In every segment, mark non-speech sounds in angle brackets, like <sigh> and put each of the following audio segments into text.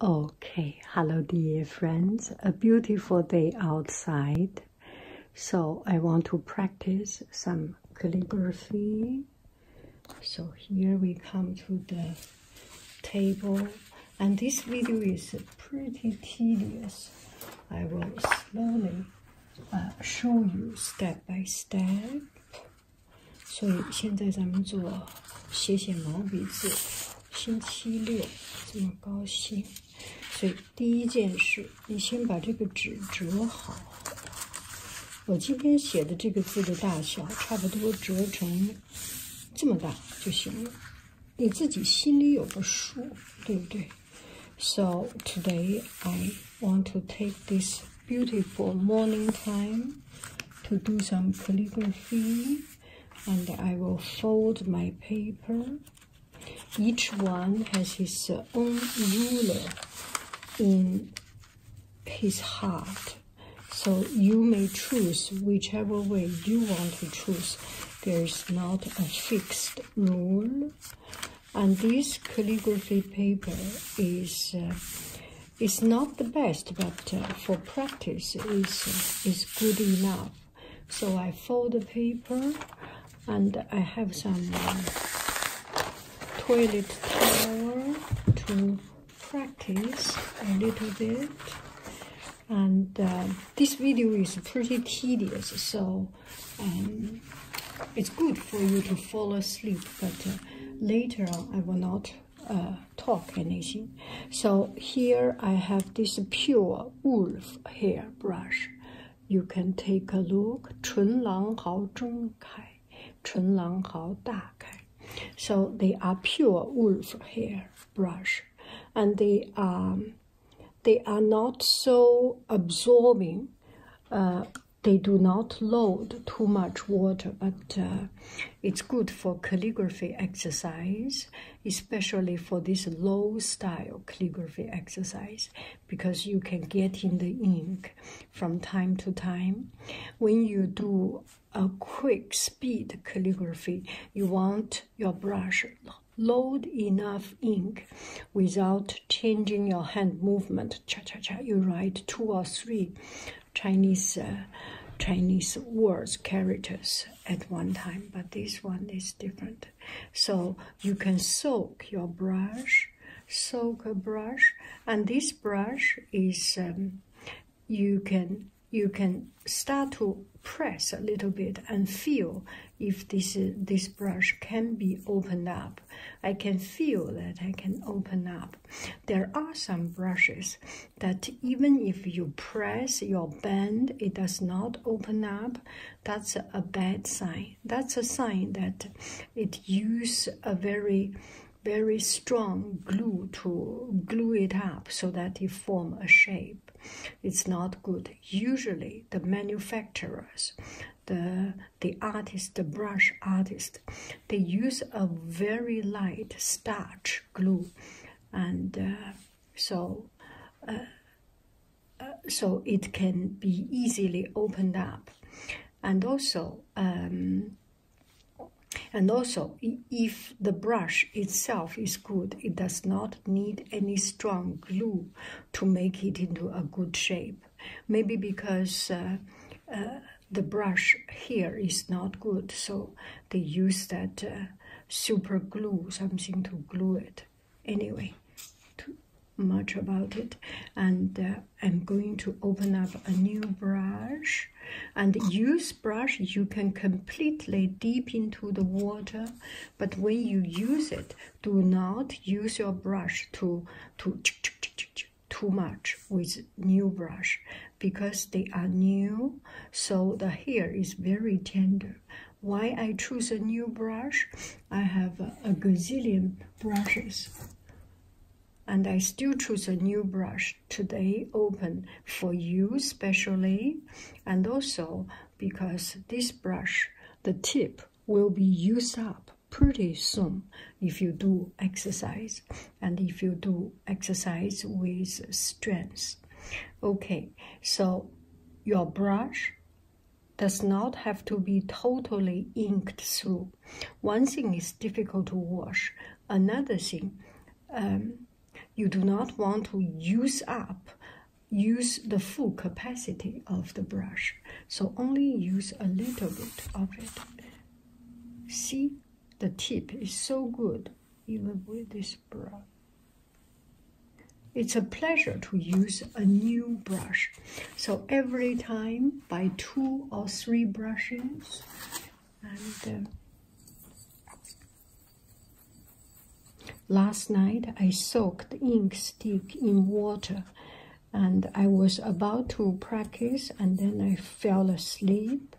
Okay, hello dear friends. A beautiful day outside. So I want to practice some calligraphy. So here we come to the table. And this video is pretty tedious. I will slowly uh, show you step by step. 所以现在咱们做写写毛笔字。星期六这么高兴，所以第一件事，你先把这个纸折好。我今天写的这个字的大小，差不多折成这么大就行了。你自己心里有个数，对不对？So today I want to take this beautiful morning time to do some calligraphy. and I will fold my paper. Each one has his own ruler in his heart. So you may choose whichever way you want to choose. There is not a fixed rule. And this calligraphy paper is uh, it's not the best, but uh, for practice, it's, it's good enough. So I fold the paper, and I have some uh, toilet towel to practice a little bit. And uh, this video is pretty tedious, so um, it's good for you to fall asleep, but later on I will not uh, talk anything. So here I have this pure wolf hair brush. You can take a look. 唇狼毫中开，唇狼毫大开. So they are pure wolf hair brush, and they are they are not so absorbing. Uh, they do not load too much water, but uh, it's good for calligraphy exercise, especially for this low style calligraphy exercise, because you can get in the ink from time to time. When you do a quick speed calligraphy, you want your brush load enough ink without changing your hand movement. Cha cha cha, you write two or three Chinese uh, Chinese words characters at one time, but this one is different. So you can soak your brush, soak a brush, and this brush is um, you can you can start to press a little bit and feel if this this brush can be opened up. I can feel that I can open up. There are some brushes that even if you press your band, it does not open up. That's a bad sign. That's a sign that it use a very very strong glue to glue it up so that it form a shape. It's not good. Usually the manufacturers, the the artist, the brush artist, they use a very light starch glue and uh, so uh, uh, so it can be easily opened up and also um, and also if the brush itself is good it does not need any strong glue to make it into a good shape maybe because the brush here is not good, so they use that uh, super glue, something to glue it. Anyway, too much about it. And uh, I'm going to open up a new brush. And use brush, you can completely deep into the water, but when you use it, do not use your brush to to too much with new brush because they are new so the hair is very tender why i choose a new brush i have a, gazillion brushes and i still choose a new brush today open for you specially and also because this brush the tip will be used up pretty soon if you do exercise and if you do exercise with strength. Okay, so your brush does not have to be totally inked through. One thing is difficult to wash. Another thing, um, you do not want to use up, use the full capacity of the brush. So only use a little bit of it. See, the tip is so good even with this brush. It's a pleasure to use a new brush. So every time by two or three brushes and uh, last night I soaked the ink stick in water and I was about to practice and then I fell asleep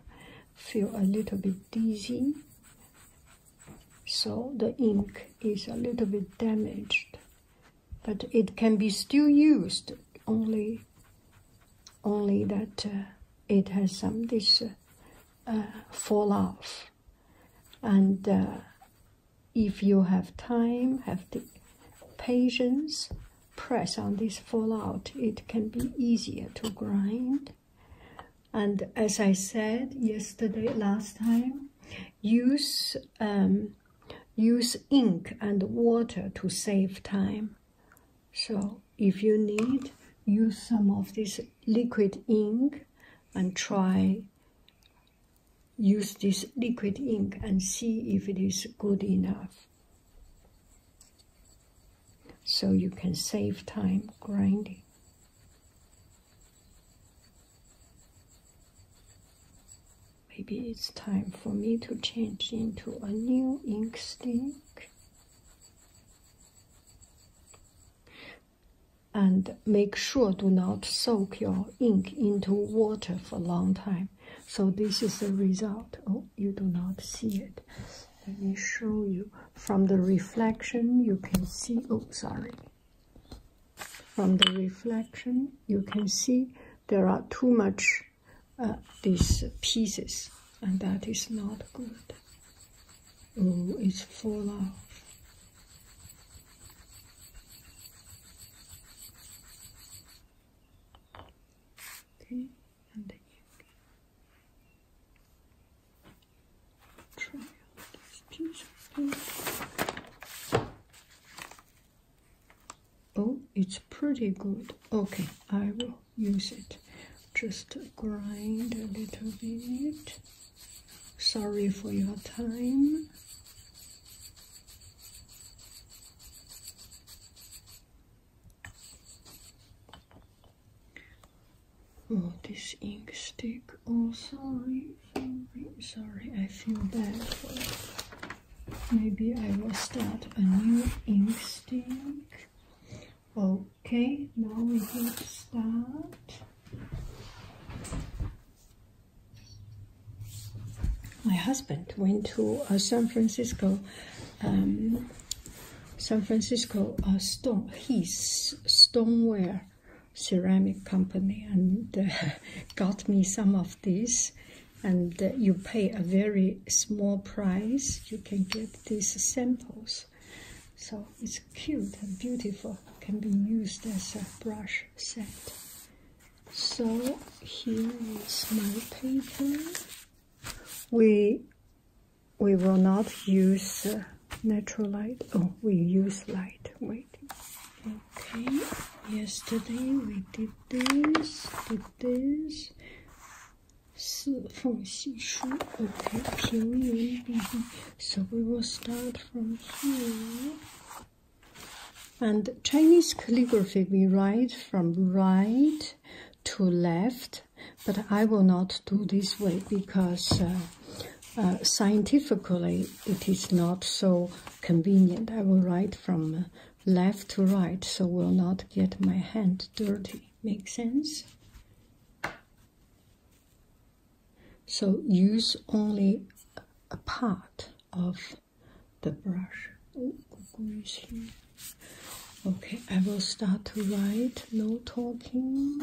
feel a little bit dizzy. So the ink is a little bit damaged, but it can be still used. Only, only that uh, it has some this uh, uh fall off, and uh, if you have time, have the patience, press on this fallout. It can be easier to grind. And as I said yesterday, last time, use um, use ink and water to save time. So if you need, use some of this liquid ink and try use this liquid ink and see if it is good enough so you can save time grinding. Maybe it's time for me to change into a new ink stick and make sure do not soak your ink into water for a long time. So this is the result. Oh, you do not see it. Let me show you. From the reflection, you can see, oh, sorry. From the reflection, you can see there are too much uh, these pieces, and that is not good. Oh, it's full of. Okay. Oh, it's pretty good. Okay, I will use it. Just grind a little bit. Sorry for your time. Oh, this ink stick. Oh, sorry, sorry, I feel bad. Maybe I will start a new ink stick. Okay, now we will start. My husband went to uh, San Francisco um, San Francisco uh, Stone, his stoneware ceramic company, and uh, <laughs> got me some of these. And uh, you pay a very small price, you can get these samples. So it's cute and beautiful, can be used as a brush set. So here is my paper. We we will not use uh, natural light. Oh, we use light. Wait. Okay. Yesterday we did this, did this. 四缝细书. Okay. 平云笔记. So we will start from here. And Chinese calligraphy, we write from right to left but I will not do this way because uh, uh, scientifically it is not so convenient. I will write from uh, left to right, so will not get my hand dirty. Make sense? So use only a part of the brush. Oh, Okay, I will start to write, no talking.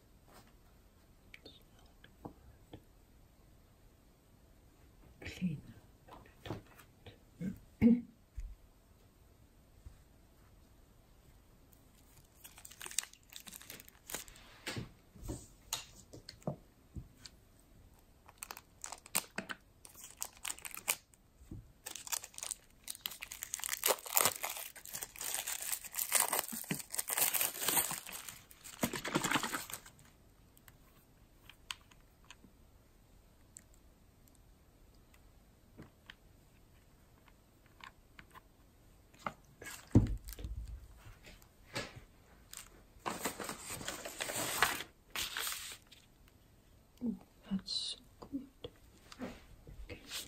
Clean that's so good. Okay.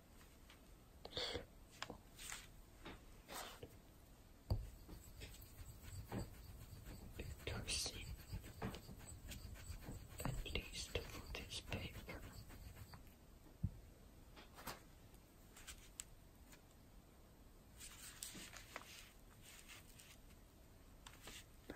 Darcy, at least for this paper. But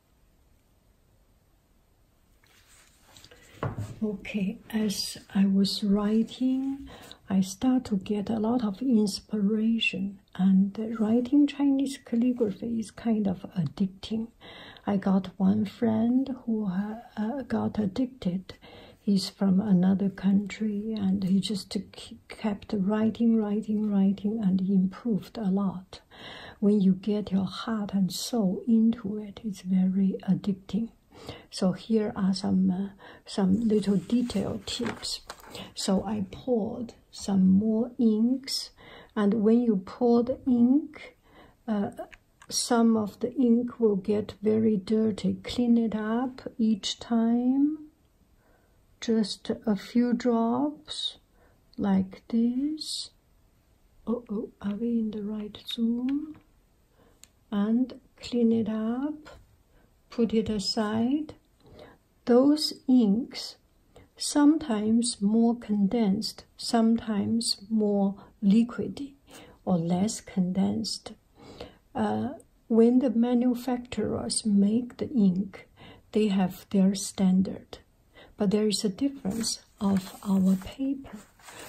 Okay, as I was writing, I start to get a lot of inspiration, and writing Chinese calligraphy is kind of addicting. I got one friend who uh, got addicted. He's from another country, and he just kept writing, writing, writing, and improved a lot when you get your heart and soul into it, it's very addicting. So here are some uh, some little detail tips. So I poured some more inks, and when you pour the ink, uh, some of the ink will get very dirty. Clean it up each time. Just a few drops, like this, oh oh are we in the right zoom and clean it up put it aside those inks sometimes more condensed sometimes more liquidy or less condensed uh, when the manufacturers make the ink they have their standard but there is a difference of our paper.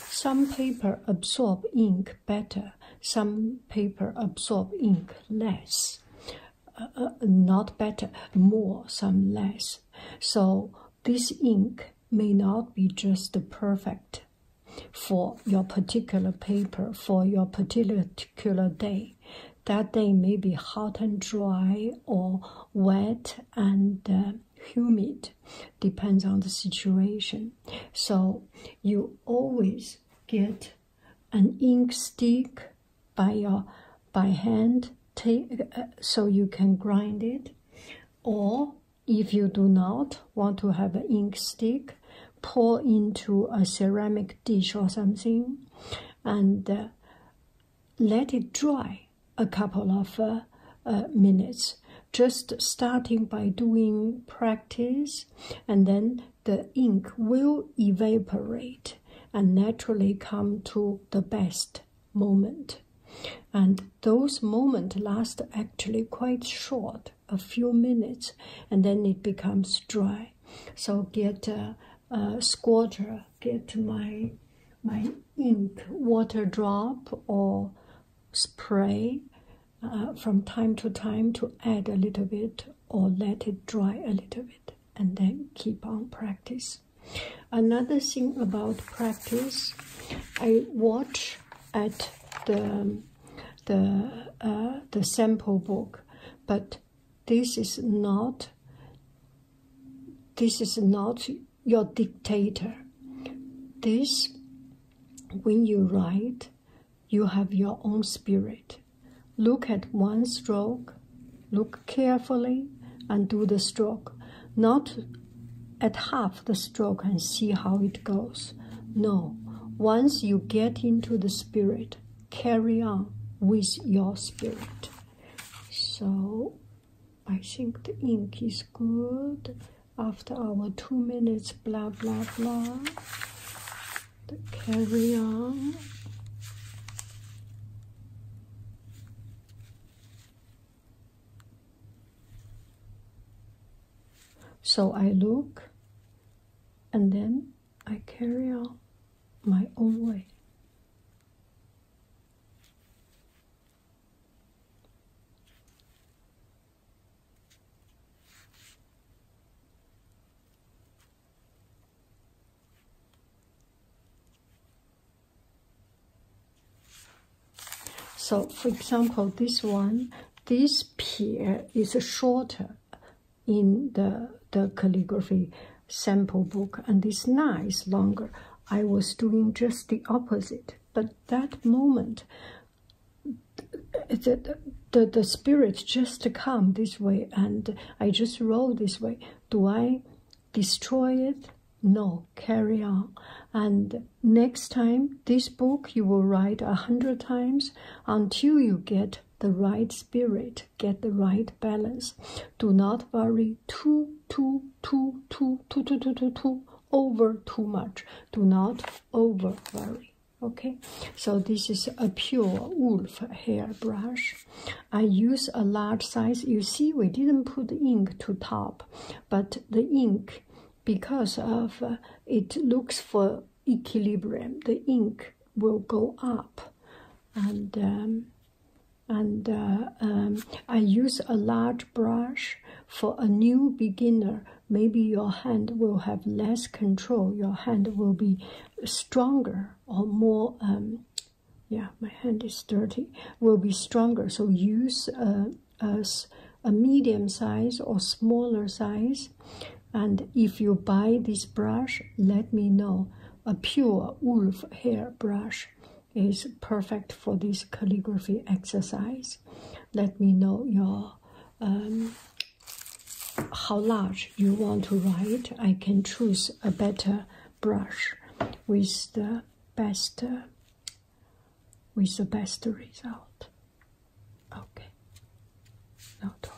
Some paper absorb ink better, some paper absorb ink less. Uh, uh, not better, more, some less. So this ink may not be just perfect for your particular paper, for your particular day. That day may be hot and dry or wet and uh, humid depends on the situation so you always get an ink stick by your by hand take uh, so you can grind it or if you do not want to have an ink stick pour into a ceramic dish or something and uh, let it dry a couple of uh, uh, minutes. Just starting by doing practice, and then the ink will evaporate and naturally come to the best moment. And those moments last actually quite short, a few minutes, and then it becomes dry. So get a, a squatter, get my my ink water drop or spray uh, from time to time to add a little bit or let it dry a little bit and then keep on practice another thing about practice i watch at the the uh, the sample book but this is not this is not your dictator. This, when you write, you have your own spirit. Look at one stroke, look carefully, and do the stroke. Not at half the stroke and see how it goes. No, once you get into the spirit, carry on with your spirit. So I think the ink is good after our two minutes blah blah blah. The carry on. So I look and then I carry on my own way. So for example, this one, this pier is shorter in the, the calligraphy sample book and this nice longer. I was doing just the opposite it but that moment the, the, the spirit just come this way and i just roll this way do i destroy it no carry on and next time this book you will write a hundred times until you get the right spirit get the right balance do not worry too too too too too too too too too over too much. Do not over worry. Okay, so this is a pure wolf hair brush. I use a large size. You see, we didn't put ink to top, but the ink, because of uh, it looks for equilibrium, the ink will go up, and um, and uh, um, I use a large brush for a new beginner. Maybe your hand will have less control. Your hand will be stronger or more. Um, yeah, my hand is dirty. Will be stronger. So use a, uh, a medium size or smaller size. And if you buy this brush, let me know. A pure wolf hair brush is perfect for this calligraphy exercise. Let me know your um, how large you want to write. I can choose a better brush with the best uh, with the best result. Okay. Now talking.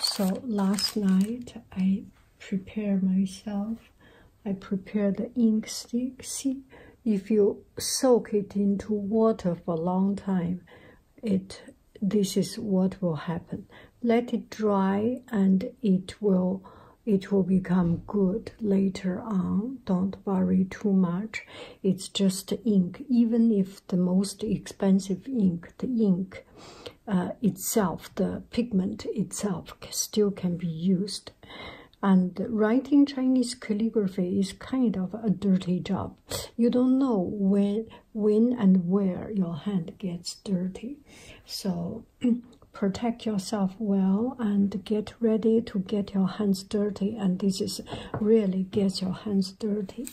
So last night I prepared myself. I prepared the ink stick. See, if you soak it into water for a long time, it this is what will happen let it dry and it will it will become good later on don't worry too much it's just ink even if the most expensive ink the ink uh, itself the pigment itself still can be used and writing chinese calligraphy is kind of a dirty job you don't know when, when and where your hand gets dirty. So <clears throat> protect yourself well and get ready to get your hands dirty. And this is really gets your hands dirty.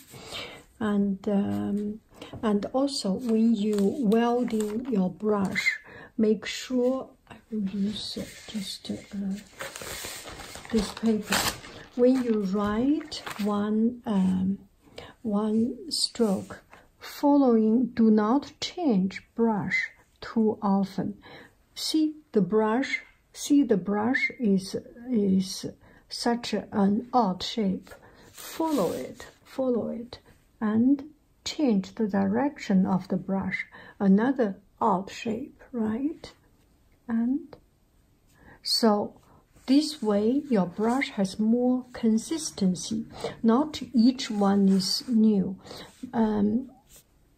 And um, and also when you welding your brush, make sure I will use it just to. Uh, this paper. When you write one um, one stroke, following do not change brush too often. See the brush. See the brush is is such an odd shape. Follow it. Follow it, and change the direction of the brush. Another odd shape, right? And so this way your brush has more consistency. Not each one is new. Um,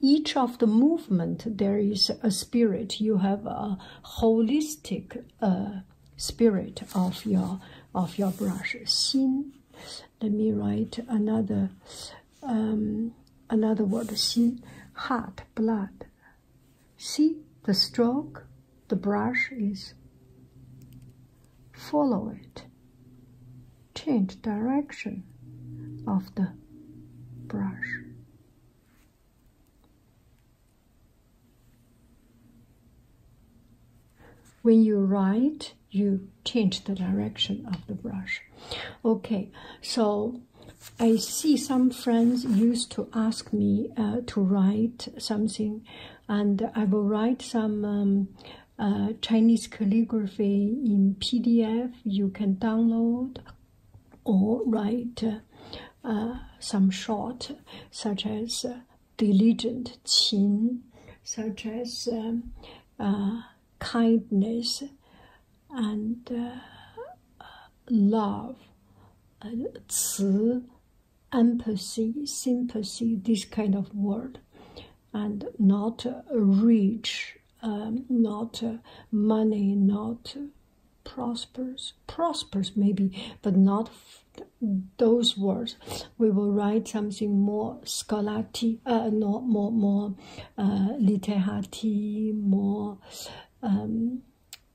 each of the movement there is a spirit. You have a holistic uh, spirit of your of your brush. Xin. Let me write another um, another word. Xin. Heart, blood, See the stroke the brush is. Follow it. Change direction of the brush. When you write, you change the direction of the brush. Okay, so I see some friends used to ask me uh, to write something, and I will write some um, uh, Chinese calligraphy in PDF you can download, or write uh, some short, such as diligent qin, such as um, kindness, and uh, love, uh, empathy, sympathy, this kind of word, and not uh, rich, um, not money, not uh, prosperous, prosperous maybe, but not those words. We will write something more scholarly, uh, no, more more uh, literati, more. Um,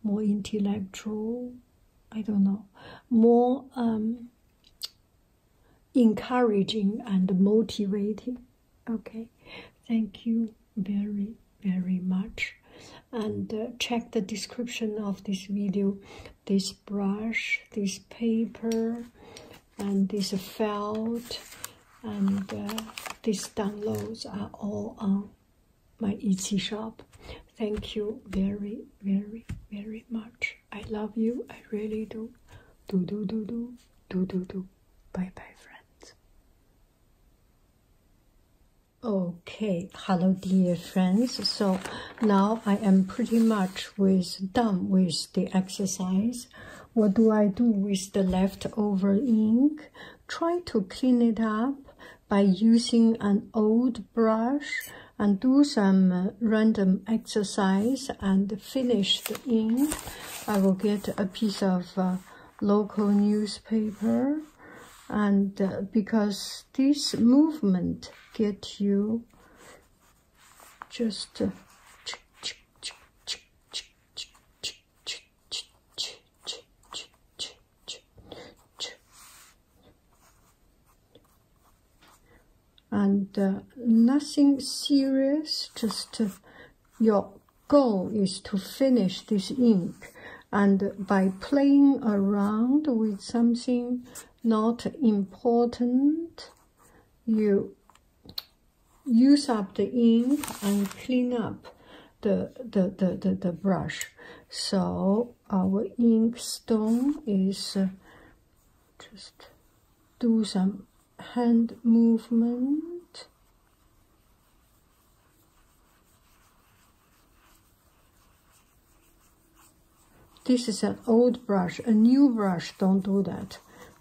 more intellectual, I don't know, more um, encouraging and motivating. Okay, thank you very, very much. And uh, check the description of this video this brush, this paper, and this felt, and uh, these downloads are all on my Etsy shop. Thank you very, very, very much. I love you. I really do. Do, do, do, do. Do, do, do. Bye, bye, friends. Okay, hello, dear friends. So now I am pretty much with done with the exercise. What do I do with the leftover ink? Try to clean it up by using an old brush and do some uh, random exercise and finish the ink. I will get a piece of uh, local newspaper and uh, because this movement get you just and uh, nothing serious just uh, your goal is to finish this ink and by playing around with something not important you use up the ink and clean up the the the the, the brush so our ink stone is uh, just do some hand movement this is an old brush a new brush don't do that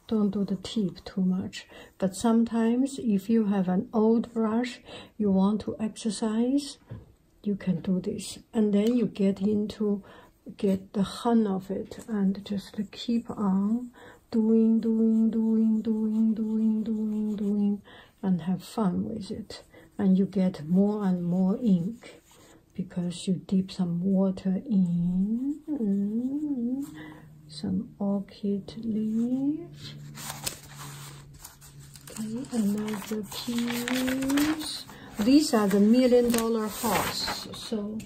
don't do the tip too much but sometimes if you have an old brush you want to exercise, you can do this. And then you get into get the hang of it and just keep on doing, doing, doing, doing, doing, doing, doing, and have fun with it. And you get more and more ink because you dip some water in, some orchid leaf, Okay, another piece. These are the million dollar horse, so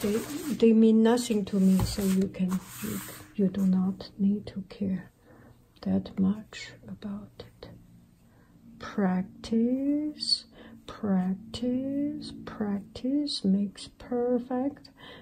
they they mean nothing to me. So you can you, you do not need to care that much about it. Practice, practice, practice makes perfect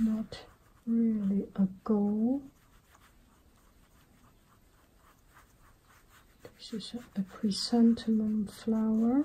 Not really a goal. This is a, a flower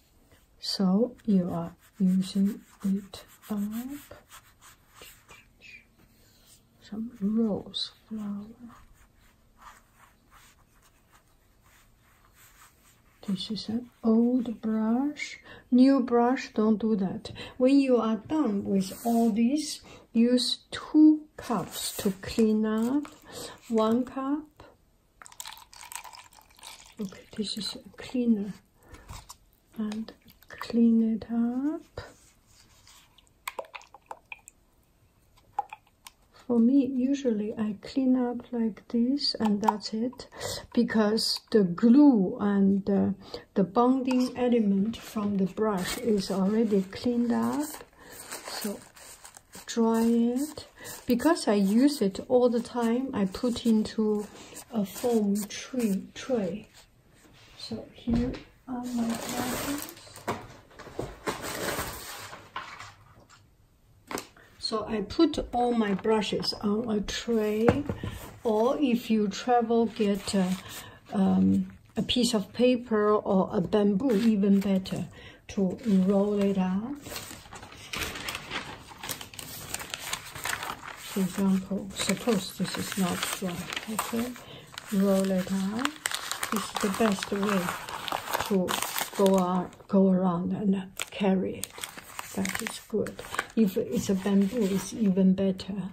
so you are using it up some rose flower. This is an old brush. New brush, don't do that. When you are done with all this, use two cups to clean up. One cup. Okay, this is a cleaner and clean it up. For me, usually I clean up like this and that's it because the glue and the bonding element from the brush is already cleaned up. So dry it. Because I use it all the time, I put into a foam tree tray. So here are my items. So I put all my brushes on a tray, or if you travel, get a, um, a piece of paper or a bamboo, even better, to roll it out. For example, suppose this is not strong. okay? Roll it out. This is the best way to go on, go around and carry it. That is good. If it's a bamboo, it's even better.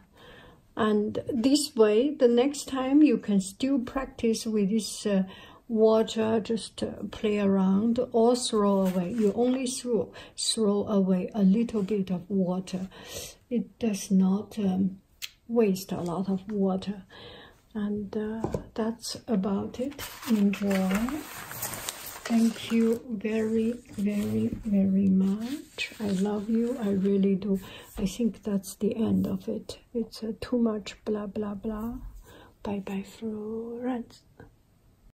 And this way, the next time you can still practice with this uh, water, just uh, play around or throw away. You only throw throw away a little bit of water. It does not um, waste a lot of water. And uh, that's about it. Enjoy. Thank you very, very, very much. I love you. I really do. I think that's the end of it. It's uh, too much blah, blah, blah. Bye-bye, Florence.